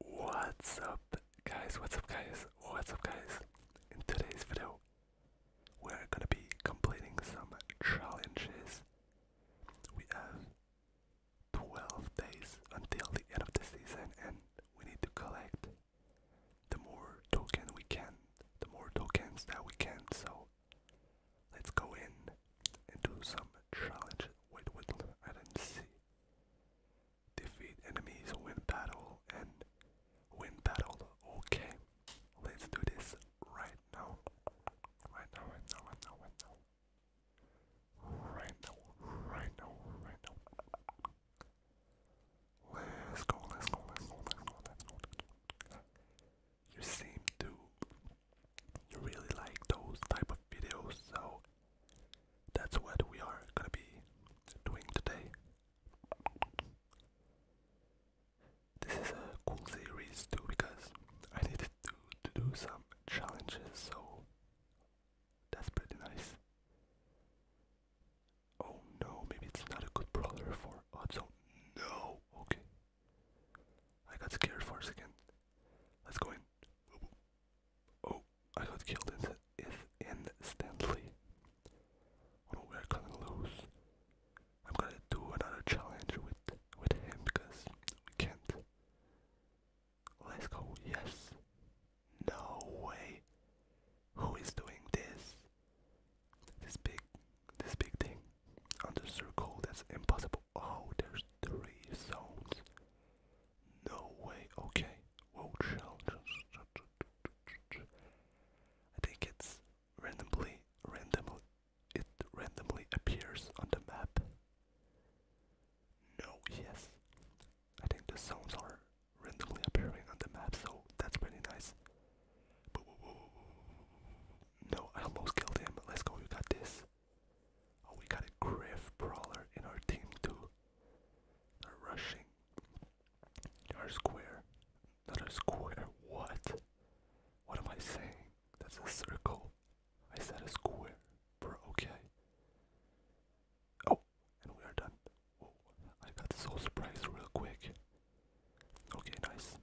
What's up guys, what's up guys, what's up guys? In today's video, we're gonna be completing some challenges. We have 12 days until the end of the season and we need to collect the more token we can, the more tokens that we can, so let's go in and do some challenge. Wait, wait, I didn't see defeat enemies, win battle, and win battle. Okay, let's do this right now. Right now, right now, right now, right now. Right now, right now, Let's go, let's go, let's go, let's go, let's go. You seem to really like those type of videos, so that's what we are gonna be doing today. This is a cool series too because I needed to, to do some challenges, so that's pretty nice. Oh no, maybe it's not a good brawler for Odds. No, okay. I got scared for a second. Let's go in. Oh, I got killed in is instantly. Oh, we're gonna I'm gonna do another challenge with with him because we can't. Let's go. Yes. No way. Who is doing this? This big, this big thing on the circle. That's impossible. Oh, there's three zones. No way. Okay. Whoa, shell. I think it's randomly, randomly, it randomly appears on the map. No, yes. I think the sounds are randomly appearing on the map, so that's pretty nice. No, I almost killed him. Let's go, you got this. Oh, we got a Griff Brawler in our team too. They're rushing. Our square. Not a square. What? What am I saying? That's a circle. I said a square. Bro, okay. Oh, and we are done. Whoa, I got so surprised real quick. Okay, nice.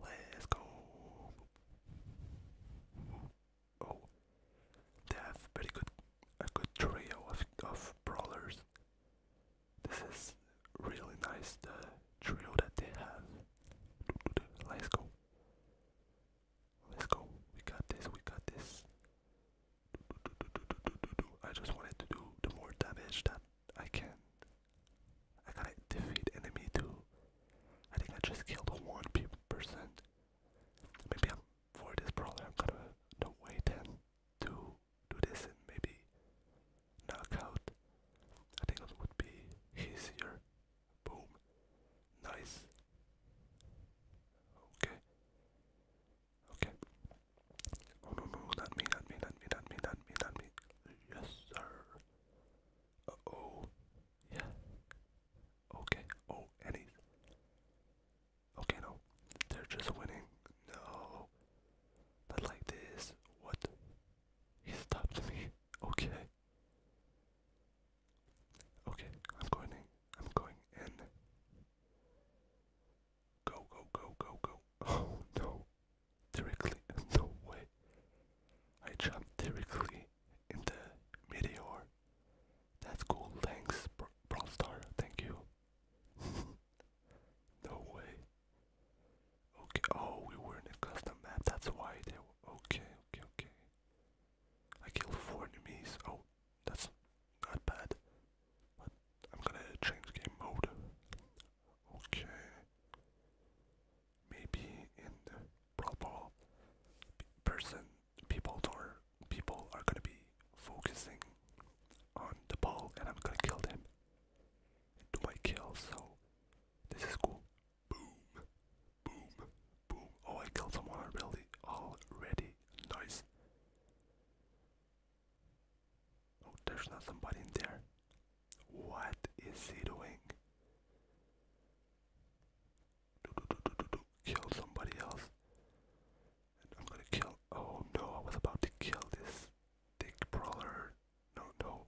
Let's go. Oh, they have very good, a good trio of, of brawlers. This is really nice, the trio that they have. Let's go. Let's go. We got this, we got this. I just wanted to do the more damage that I can. I gotta defeat enemy too. I think I just killed one person Maybe i for this problem. I'm gonna wait then to do this and maybe knockout. I think it would be easier. Boom. Nice. Okay. Okay. Oh no no, not me, me, not me, not me, not me, not me. Yes sir. Uh oh. Yeah. Okay. Oh, any. Okay, no. They're just winning. No. Not like this. What? He stopped me. Okay. Okay, I'm going I'm going in. Go, go, go, go, go. Oh, no. Directly. No way. I jumped directly into Meteor. That's cool, thanks, Br Star, thank you. no way. Okay, oh, we were in a custom map, that's why Okay, okay, okay. I killed four enemies. Oh, that's not bad. But I'm gonna change game mode. Okay maybe in the Pro person people are people are gonna be focusing on the ball, and I'm gonna kill them. And my kill, so this is cool. Boom, boom, boom. Oh, I killed someone already. Already, nice. Oh, there's not somebody in there. What is he doing? do, do, do, do, do, kill somebody else. I'm gonna kill. Oh no, I was about to kill this dick brawler. No, no.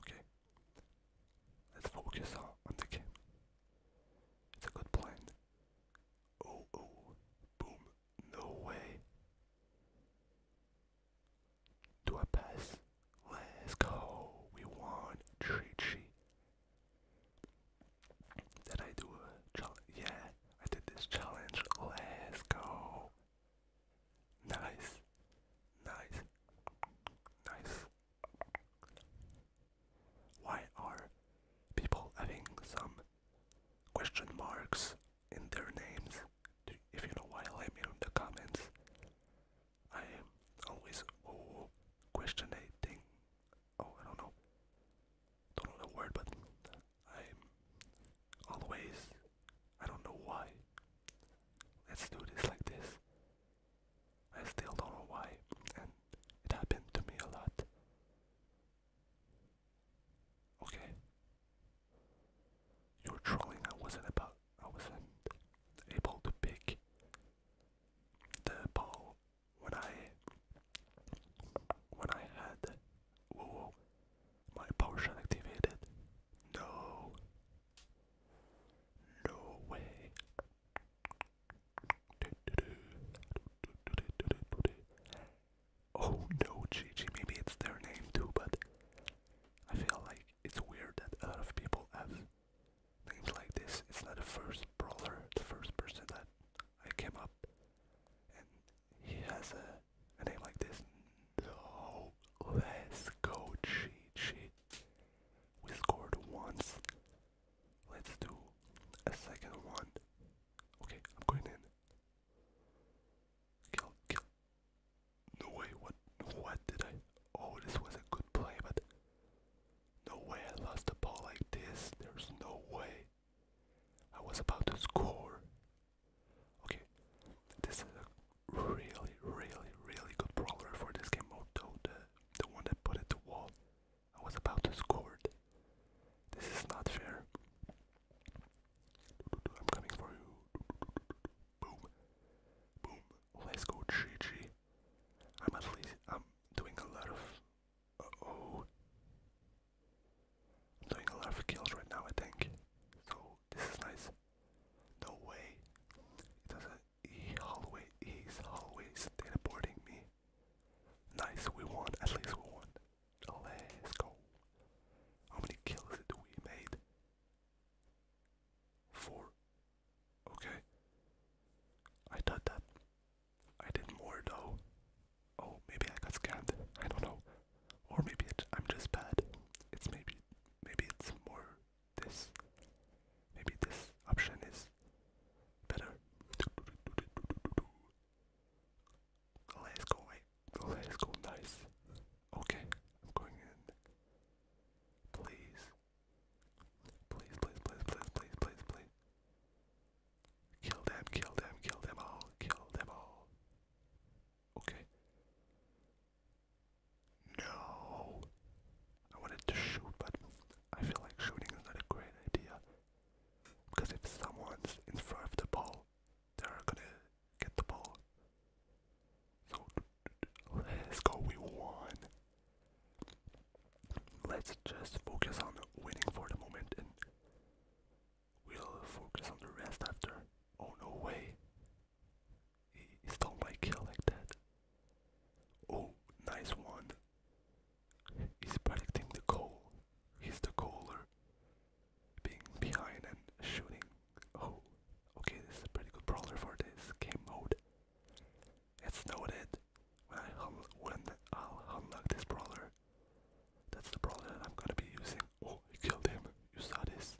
Okay. Let's focus on, on the game. It's a good plan. Oh, oh. Boom. No way. Do I pass? Let's go. We won. Tree tree. Did I do a challenge? Yeah, I did this challenge. Let's go. Nice. Nice. Nice. Why are people having some question marks in their names? If you know why, let me know in the comments. I am always questioning. Oh, I don't know. Don't know the word, but I'm always. I don't know why. Let's do this like this. I still don't know why, and it happened to me a lot. Okay. You're trolling. I wasn't about. I wasn't able to pick the when I when I had my potion activated. No No way Oh no GG maybe it's their name too but I feel like it's weird that a lot of people have names like this. It's not the first brawler, the first person that I came up, and he has a, name like this. No, let's go cheat sheet. We scored once. Let's do a second one. Okay, I'm going in. Kill, kill. No way, what, what did I, oh this was a good play, but no way I lost the ball like this, there's no way. I was about to score. Okay, this is a really, really, really good brawler for this game mode the, the one that put it to wall. I was about to score This is not fair. I'm coming for you. Boom. Boom. Let's go GG. I'm at least I'm doing a lot of uh, oh I'm doing a lot of kills right now I think. So this is nice. No way. It doesn't he always he's always teleporting me. Nice, we won, at least we won. Let's go. How many kills did we made? Four. Okay. I thought that I did more though. Oh, maybe I got scammed. I don't know. Or maybe it, I'm just bad. It's maybe, maybe it's more this. Maybe this option is better. Let's go, wait. Let's go, nice. Okay, I'm going in. Please. Please, please, please, please, please, please, please. Kill them, kill them, kill them all, kill them all. Okay. No. I wanted to shoot, but I feel like shooting is not a great idea. Because if someone's in front of the ball, they're gonna get the ball. So Let's go, we won. Let's just focus on winning for the moment and we'll focus on the rest after. Oh, no way. He stole my kill like that. Oh, nice one. He's protecting the goal. He's the caller, Being behind and shooting. Oh, okay, this is a pretty good brawler for this game mode. It's noted when I when i unlock this brawler. That's the brawler I'm gonna be using. Oh, killed him. You saw this.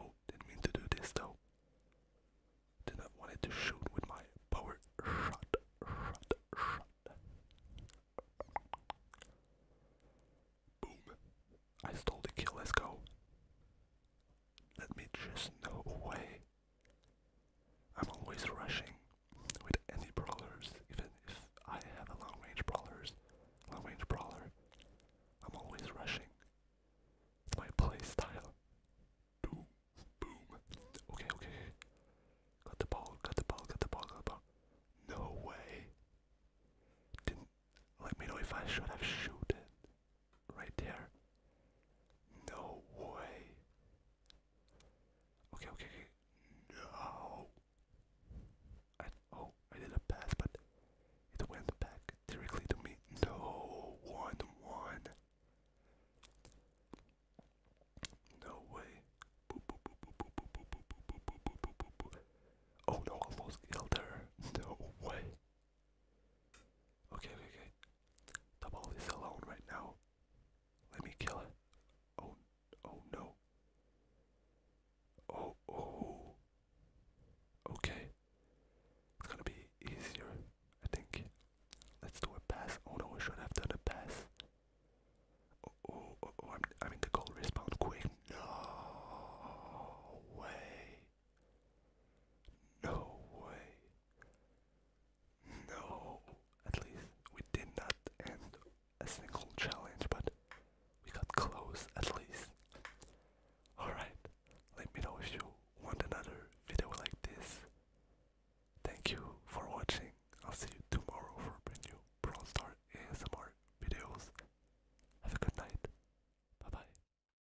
Oh, didn't mean to do this though. Did not wanted to shoot with my power shot, shot, shot. Boom. I stole the kill, let's go. Let me just know away. I'm always rushing with any brawlers, even if I have a long range brawlers, long range brawler. I'm always rushing. It's my play style. Boom, boom. Okay, okay. Got the ball, got the ball, got the ball, got the ball. No way. Didn't let me know if I should have shooted right there. No way. Okay, okay, okay. No. I, oh, I did a pass, but it went back directly to me. No, one, one. No way. Oh no, I lost Elder. No way. Okay, okay, okay. The ball alone right now. Let me kill it. Oh, oh no. Oh, oh. Okay. It's gonna be easier, I think. Let's do a pass. Oh no, I should have done a pass. Oh, oh, oh, I'm, I'm in the goal respawn quick. No way. No way. No. At least we did not end a single challenge, but we got close at least. Alright, let me know if you want another video like this. Thank you for watching. I'll see you tomorrow for brand new Brawl Star ASMR videos. Have a good night. Bye bye.